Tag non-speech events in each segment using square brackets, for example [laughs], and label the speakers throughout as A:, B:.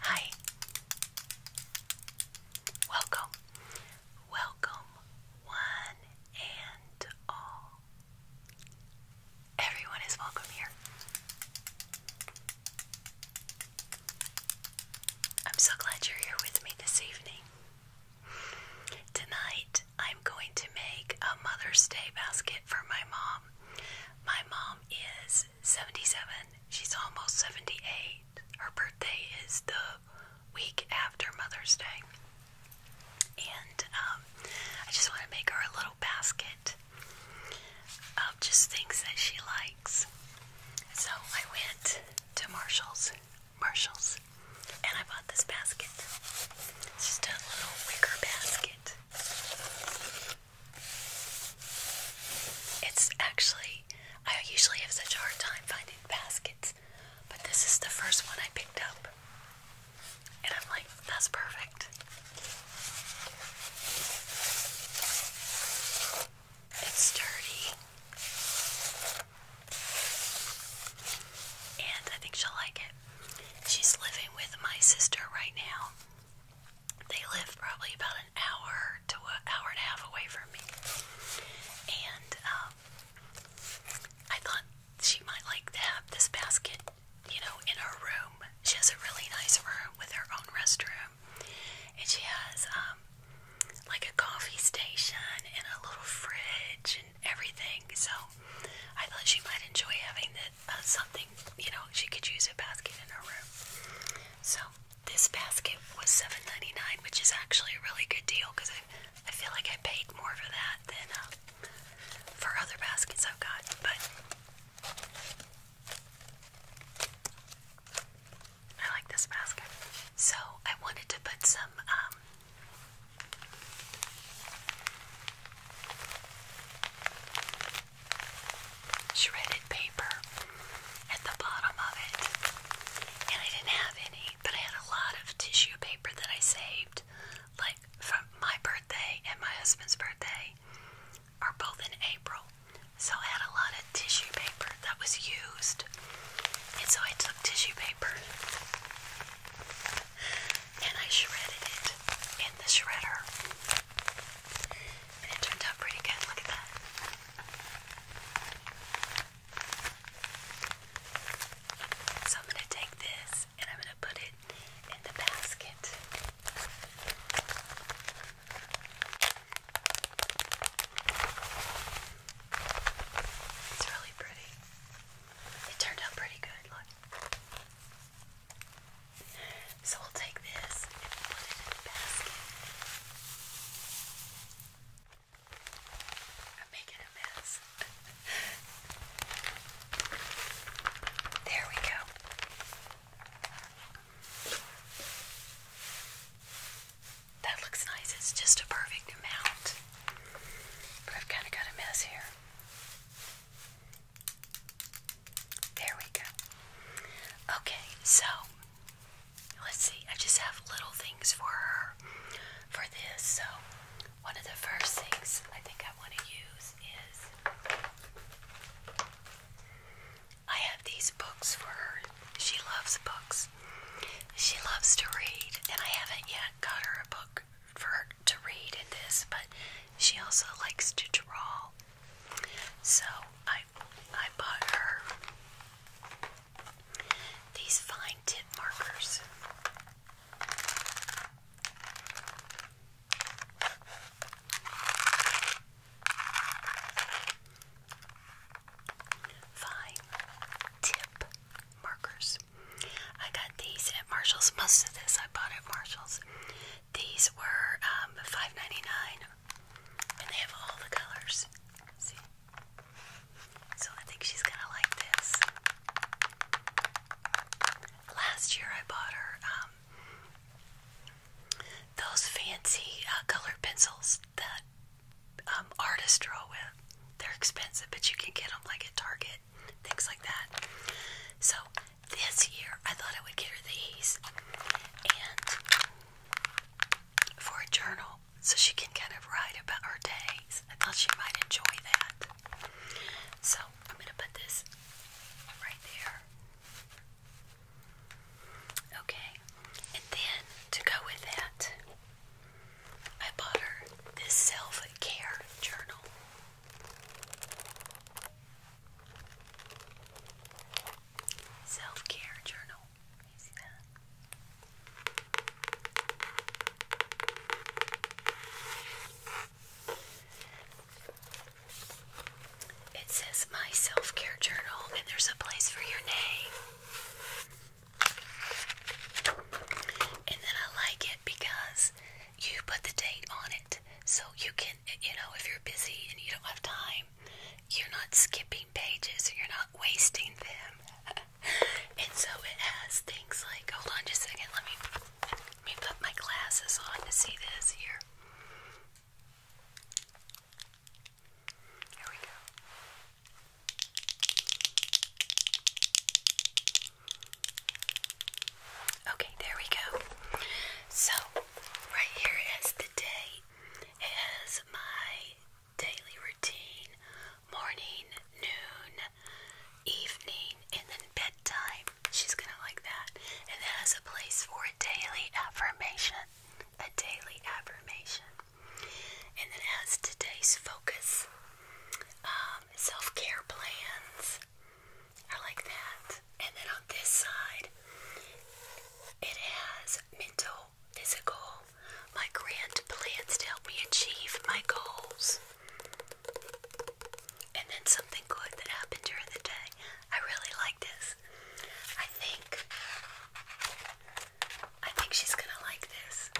A: Hi. Welcome. Welcome, one and all. Everyone is welcome here. I'm so glad you're here with me this evening. Tonight, I'm going to make a Mother's Day basket for my mom. My mom is 77. She's almost 78. Her birthday is the week after Mother's Day. And um, I just want to make her a little basket of just things that she likes. So I went to Marshall's, Marshall's, and I bought this basket. It's just a little wicker basket. It's actually, I usually have such a hard time finding baskets, but this is the first one I picked up. And I'm like, that's perfect. It's sturdy. And I think she'll like it. She's living with my sister right now. They live probably about an hour to an hour and a half away from me. And um, I thought she might like to have this basket, you know, in her room. She has a really nice room with her own restroom. And she has um, like a coffee station and a little fridge and everything. So I thought she might enjoy having this. Uh, something, you know, she could use a basket in her room. So this basket was 7 which is actually a really good deal because I, I feel like I paid more for that than uh, for other baskets I've got. But I like this basket. So I wanted to put some. Um, shredded paper at the bottom of it. And I didn't have any, but I had a lot of tissue paper that I saved, like from my birthday and my husband's birthday are both in April. So I had a lot of tissue paper that was used. And so I took tissue paper and I shredded it in the shredder it turned out pretty good. Look at that. So I'm going to take this and I'm going to put it in the basket. It's really pretty. It turned out pretty good. Look. So we'll take this and put it in the basket. I'm making a mess. there we go. That looks nice. It's just a perfect amount. But I've kind of got a mess here. There we go. Okay, so let's see. I just have little things for her for this. So, one of the first things I think I want to use is I have these books for her. She loves books. She loves to read, and I haven't yet got her a book for her to read in this, but she also likes to draw. So I I bought her these fine tip markers. Fine tip markers. I got these at Marshall's. Most of this I bought at Marshall's. These were um, $5.99 and they have all the colors. So I think she's gonna like this. Last year I bought her um, those fancy uh, colored pencils that um, artists draw with. They're expensive, but you can get them like at Target, things like that. So this year, I thought I would get her these and for a journal so she can kind of write about her days. I thought she might enjoy that. So I'm going to put this right there. Okay, and then to go with that, I bought her this self care journal. Self care journal. You see that? It says my self care journal, and there's a place for your name. And then I like it because you put the date on it so you can you know, if you're busy and you don't have time, you're not skipping pages, you're not wasting them. [laughs] and so it has things like, hold on just a second, let me, let me put my glasses on to see this here. Here we go. Okay, there we go. So Right here is the It has my daily routine morning, noon, evening, and then bedtime. She's gonna like that. And that has a place for a daily affirmation. A daily affirmation. And then has today's focus, um, self care plans, I like that. And then on this side, it has mental, physical, my grand plans to help me achieve my goals. And then something good that happened during the day. I really like this. I think I think she's gonna like this.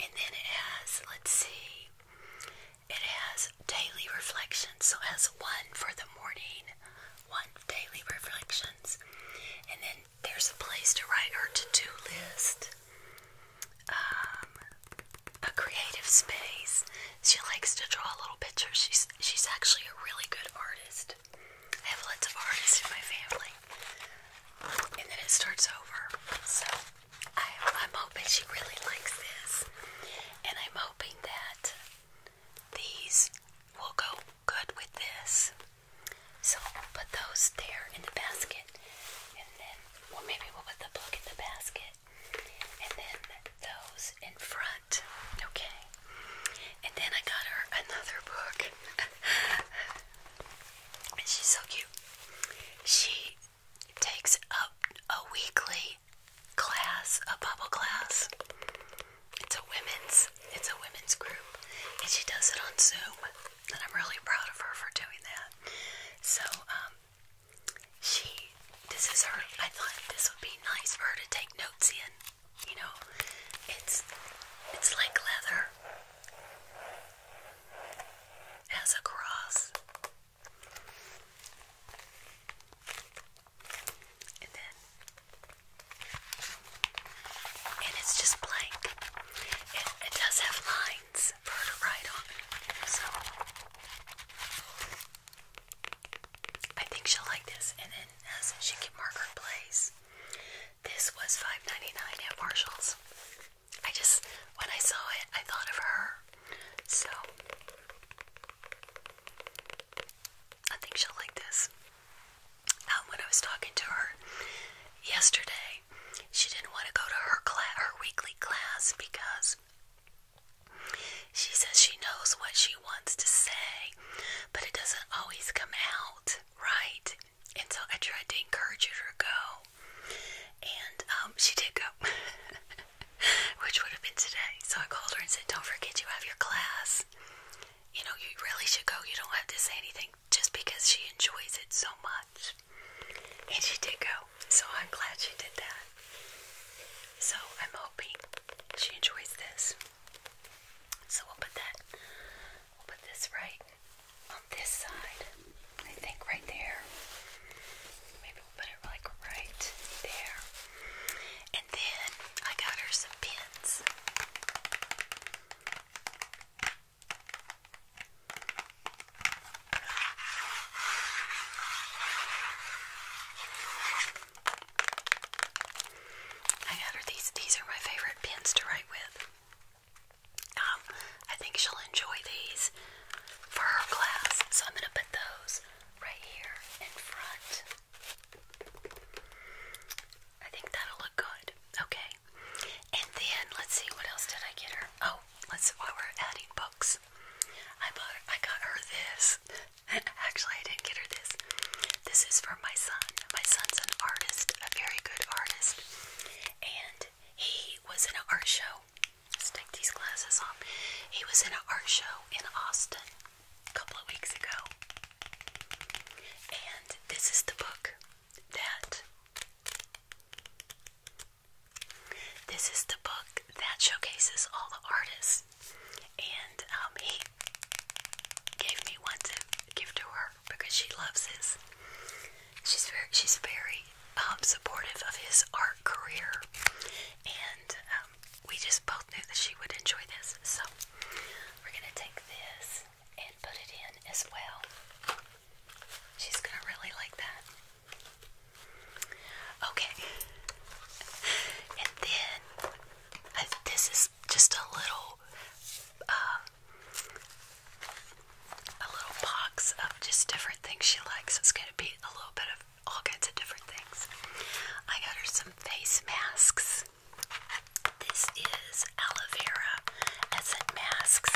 A: And then it has, let's see, it has daily reflections, so it has one for the morning, one daily reflections, and then there's a place to write her to-do list. Um, a creative space. She likes to draw little pictures. She's she's actually a really good artist. I have lots of artists in my family. And then it starts over. So I'm hoping she really likes this, and I'm hoping that these will go good with this. So we'll put those there in the basket. And then, well, maybe we'll put the book in the basket. And then those in front. Okay. And then I got her another book. [laughs] and she's so cute. She takes up a weekly class, a bubble class. It's a women's, it's a women's group, and she does it on Zoom. And I'm really proud of her for doing that. So, um, she, this is her. I thought this would be nice for her to take notes in. You know, it's it's like leather, it has a cross and then and it's just blank. It, it does have lines for her to write on, so I think she'll like this. And then as she can mark her place. This was $5.99 at Marshalls. I just when I saw it, I thought of her. So I think she'll like this. Um, when I was talking to her yesterday, she didn't want to go to her class, her weekly class, because she says she knows what she wants to say, but it doesn't always come out right. And so I tried to encourage her to go, and um, she did go. [laughs] [laughs] which would have been today. So I called her and said, Don't forget you have your class. You know, you really should go. You don't have to say anything just because she enjoys it so much. And she did go. So I'm glad she did that. So I'm hoping she enjoys this. So we'll put that, we'll put this right on this side. I think right there. Maybe we'll put it like right there. And then I got her some pins. I got her these. These are my favorite pens to write with. Um, I think she'll enjoy these for her class, so I'm gonna put those right here in front. I think that'll look good. Okay. And then let's see what else did I get her? Oh, let's while we're adding books. I bought I got her this. [laughs] Actually I didn't get her this. This is for my son. My son's an artist, a very good artist. And he was in an art show. let these glasses off. He was in an art show in Austin a couple of weeks ago. And this is the book that this is the book that showcases all the artists. And um, he gave me one to give to her because she loves his. She's very she's very um, supportive of his art career, and um, we just both knew that she would enjoy this. So we're going to take this and put it in as well. She's going to really like that. Okay. And then this is just a little um, a little box of just different things she likes. It's going to be a little bit of all kinds of different things. I got her some face masks. This is aloe vera essence masks.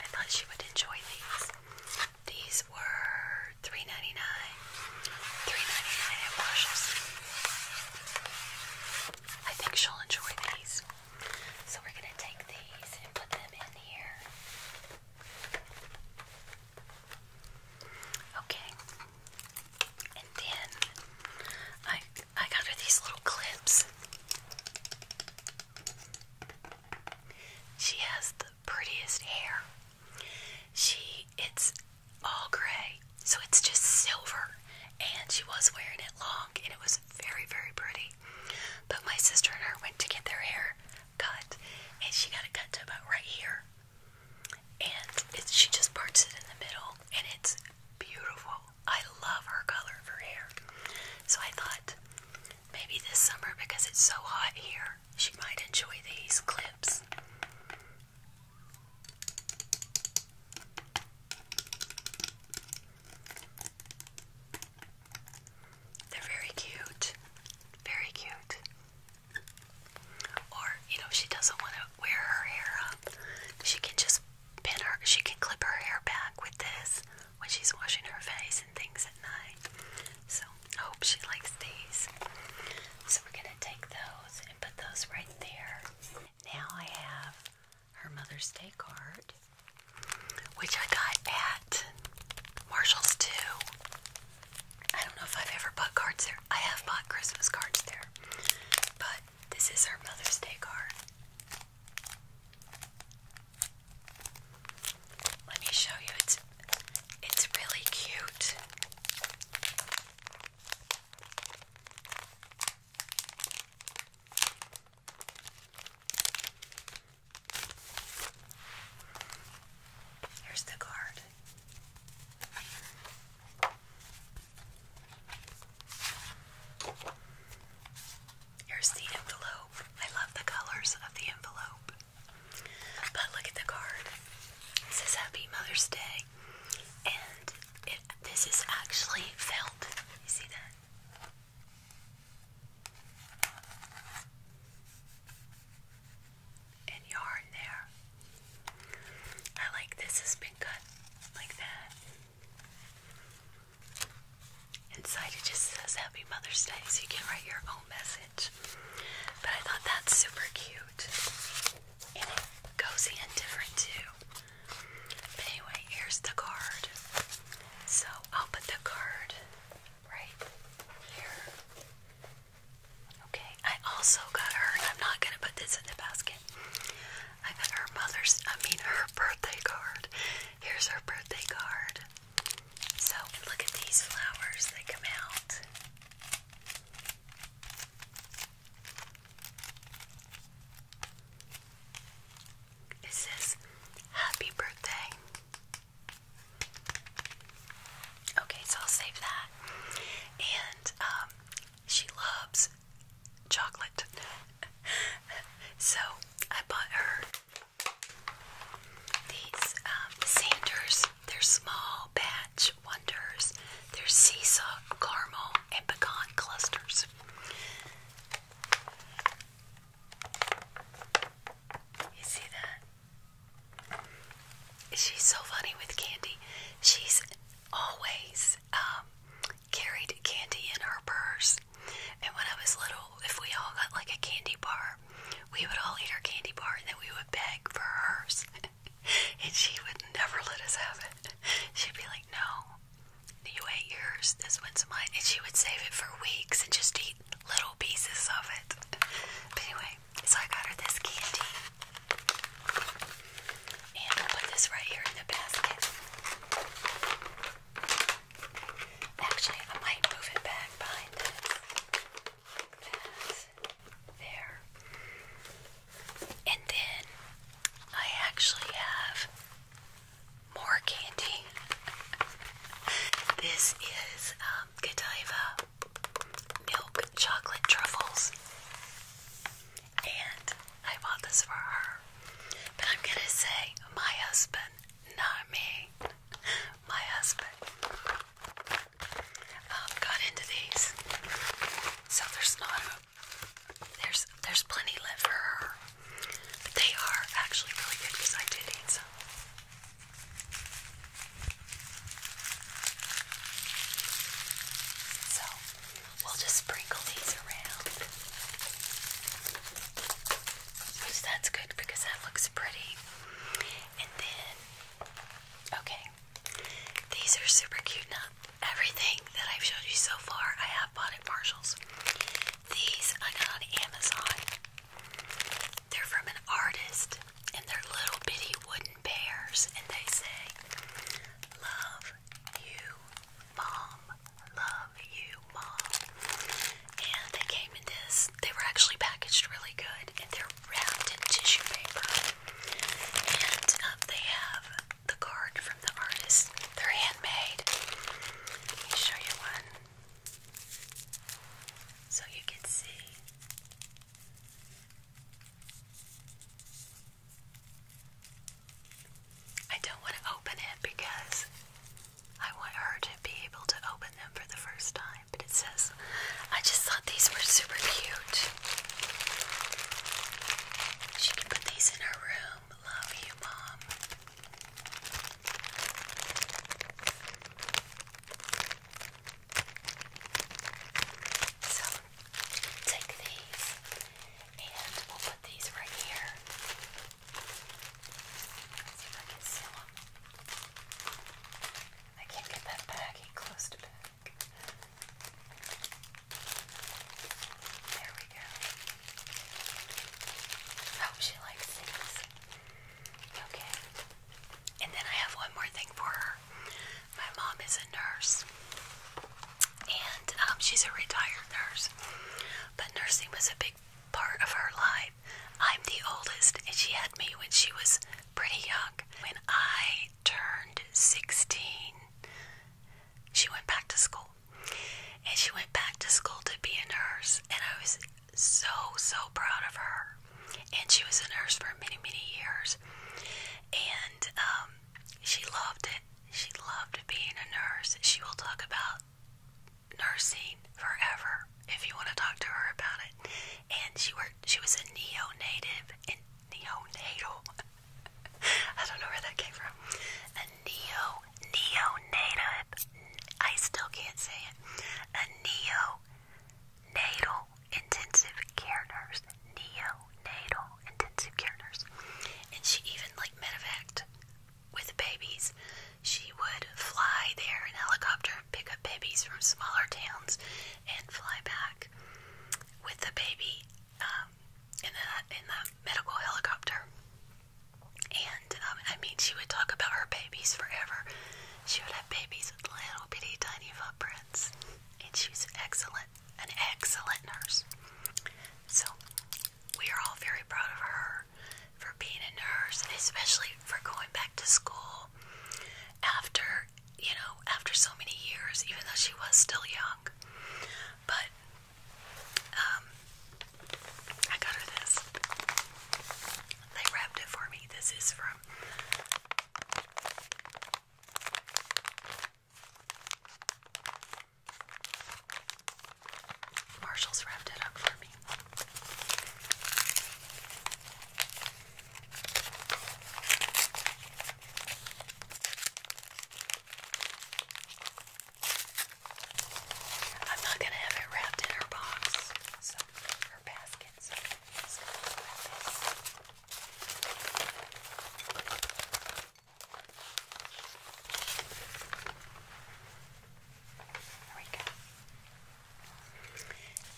A: I thought she would enjoy these. These were 3 dollars at Marshalls. I think she'll enjoy these. So we're going to take these and put them in here. Okay. And then I I got her these little clips. She has the prettiest hair. She it's all gray, so it's just silver. And she was wearing it long, and it was very, very pretty. But my sister and her went to get their hair cut, and she got it cut to about right here. And she just parts it in the middle, and it's beautiful. I love her color of her hair. So I thought maybe this summer, because it's so hot here, she might enjoy these clips. They're very cute. Very cute. Or, you know, she doesn't want to wear her hair up, she can just pin her, she can clip her hair back with this when she's washing her face and things at night. So, I hope she likes these. So, we're going to take those and put those right there. Now, I have her Mother's Day card, which I got at Marshall's too. I don't know if I've ever bought cards there. I have bought Christmas cards there, but this is her Mother's Day card. Let me show you. It's it's really cute. Here's the card. Here's the envelope. I love the colors of the envelope. But look at the card. It says Happy Mother's Day and this is actually felt. You see that? And yarn there. I like this has been cut like that. Inside it just says Happy Mother's Day, so you can write your own message. But I thought that's super cute and it goes in different too. anyway, here's the card. So I'll put the card right here. Okay, I also got her, I'm not gonna put this in the basket. I got her mother's, I mean, her birthday card. Here's her birthday card. So, look at these flowers, they come out. It says, Happy birthday. Okay, so I'll save that. And um, she loves chocolate. [laughs] so I bought her these um, Sanders. They're small batch wonders. They're sea salt caramel and clusters. You see that? She's so funny with candy. She's always um, carried candy in her purse. And when I was little, if we all got like a candy bar, we would all eat our candy bar and then we would beg for hers. [laughs] and she would never let us have it. She'd be like, no, you ate yours, this one's mine. And she would save it for weeks and just eat little pieces of it. But anyway, so I got her this candy. And I'll put this right here in the basket. Actually, I might move it back behind this. There. And then I actually have more candy. this is um, Godiva milk chocolate truffles. And I bought this for her. But I'm gonna say, my husband, not me. My husband um, got into these. So there's not a there's there's plenty left for her, but they are actually really good because I did eat some. So we'll just sprinkle these around. that's good because that looks pretty. And then, okay, these are super cute. Now, everything that I've showed you so far, I have bought at Marshalls. These I got on Amazon. They're from an artist, and they're little bitty wooden bears, and they say, Love you, Mom. Love you, Mom. And they came in this, they were actually packaged really good, and they're wrapped in tissue paper. And um, they have the card from the artist. They're handmade. Let me show you one. So you can see. I don't want to open it because I want her to be able to open them for the first time. But it says, I just thought these were super cute. She can put these in her room. Love you, Mom. So, take these and we'll put these right here. see if I can seal them. I can't get that bag baggy close to back. There we go. Oh, she likes these. Okay. And then I have one more thing for her. My mom is a nurse, and um, she's a retired nurse. But nursing was a big part of her life. I'm the oldest, and she had me when she was pretty young. When I turned 16, she went back to school. And she went back to school to be a nurse, and I was so, so proud of her. And she was a nurse for many, many years, and um, she loved it. She loved being a nurse. She will talk about nursing forever if you want to talk to her about it. And she worked. She was a neonative and neonatal [laughs] I don't know where that came from. A neo neonatal. I still can't say it. A neonatal intensive care nurse. Neonatal intensive care nurse. And she even like medevaced with babies. She would fly there in helicopter pick up babies from smaller towns and fly back with the baby um, in that in that medical helicopter. And um, I mean, she would talk about her babies forever. She would have babies with little bitty tiny footprints, and she was excellent, an excellent nurse. So we are all very proud of her for being a nurse, especially for going back to school after you know after so many years, even though she was still young. But um, I got her this. They wrapped it for me. This is from Marshall's wrapped it up for me. I'm not gonna have it wrapped in her box, so her basket. There we go.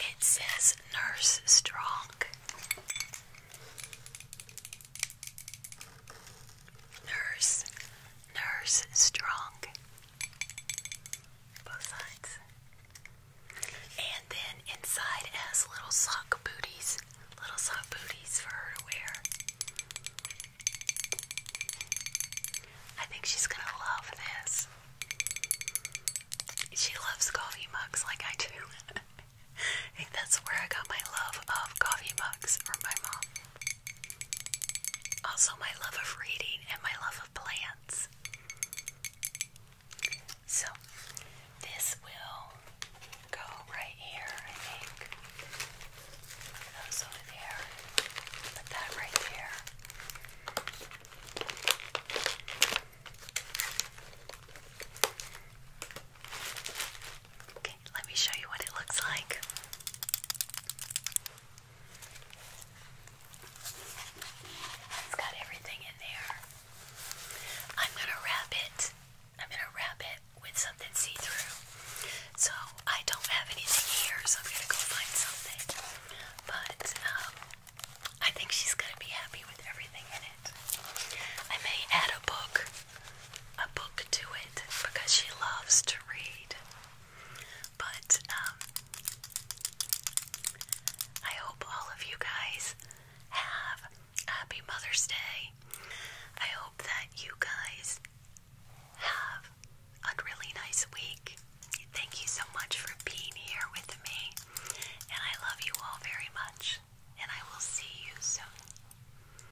A: It says Nurse Strong. Nurse, nurse strong. Both sides. And then inside has little sock booties. Little sock booties for her to wear. I think she's gonna love this. She loves coffee mugs like I do. [laughs] I think that's where I got my love of coffee mugs from my mom. Also, my love of reading and my love of plants. So, this will go right here, I Those over there. Put that right there let me show you what it looks like. It's got everything in there. I'm gonna wrap it. I'm gonna wrap it with something see-through. So I don't have anything here, so I'm gonna go find something. But um, I think she's gonna be happy with everything in it. I may add a book a book to it because she loves to read. But um, I hope all of you guys have a happy Mother's Day. I hope that you guys have a really nice week. Thank you so much for being here with me, and I love you all very much, and I will see you soon.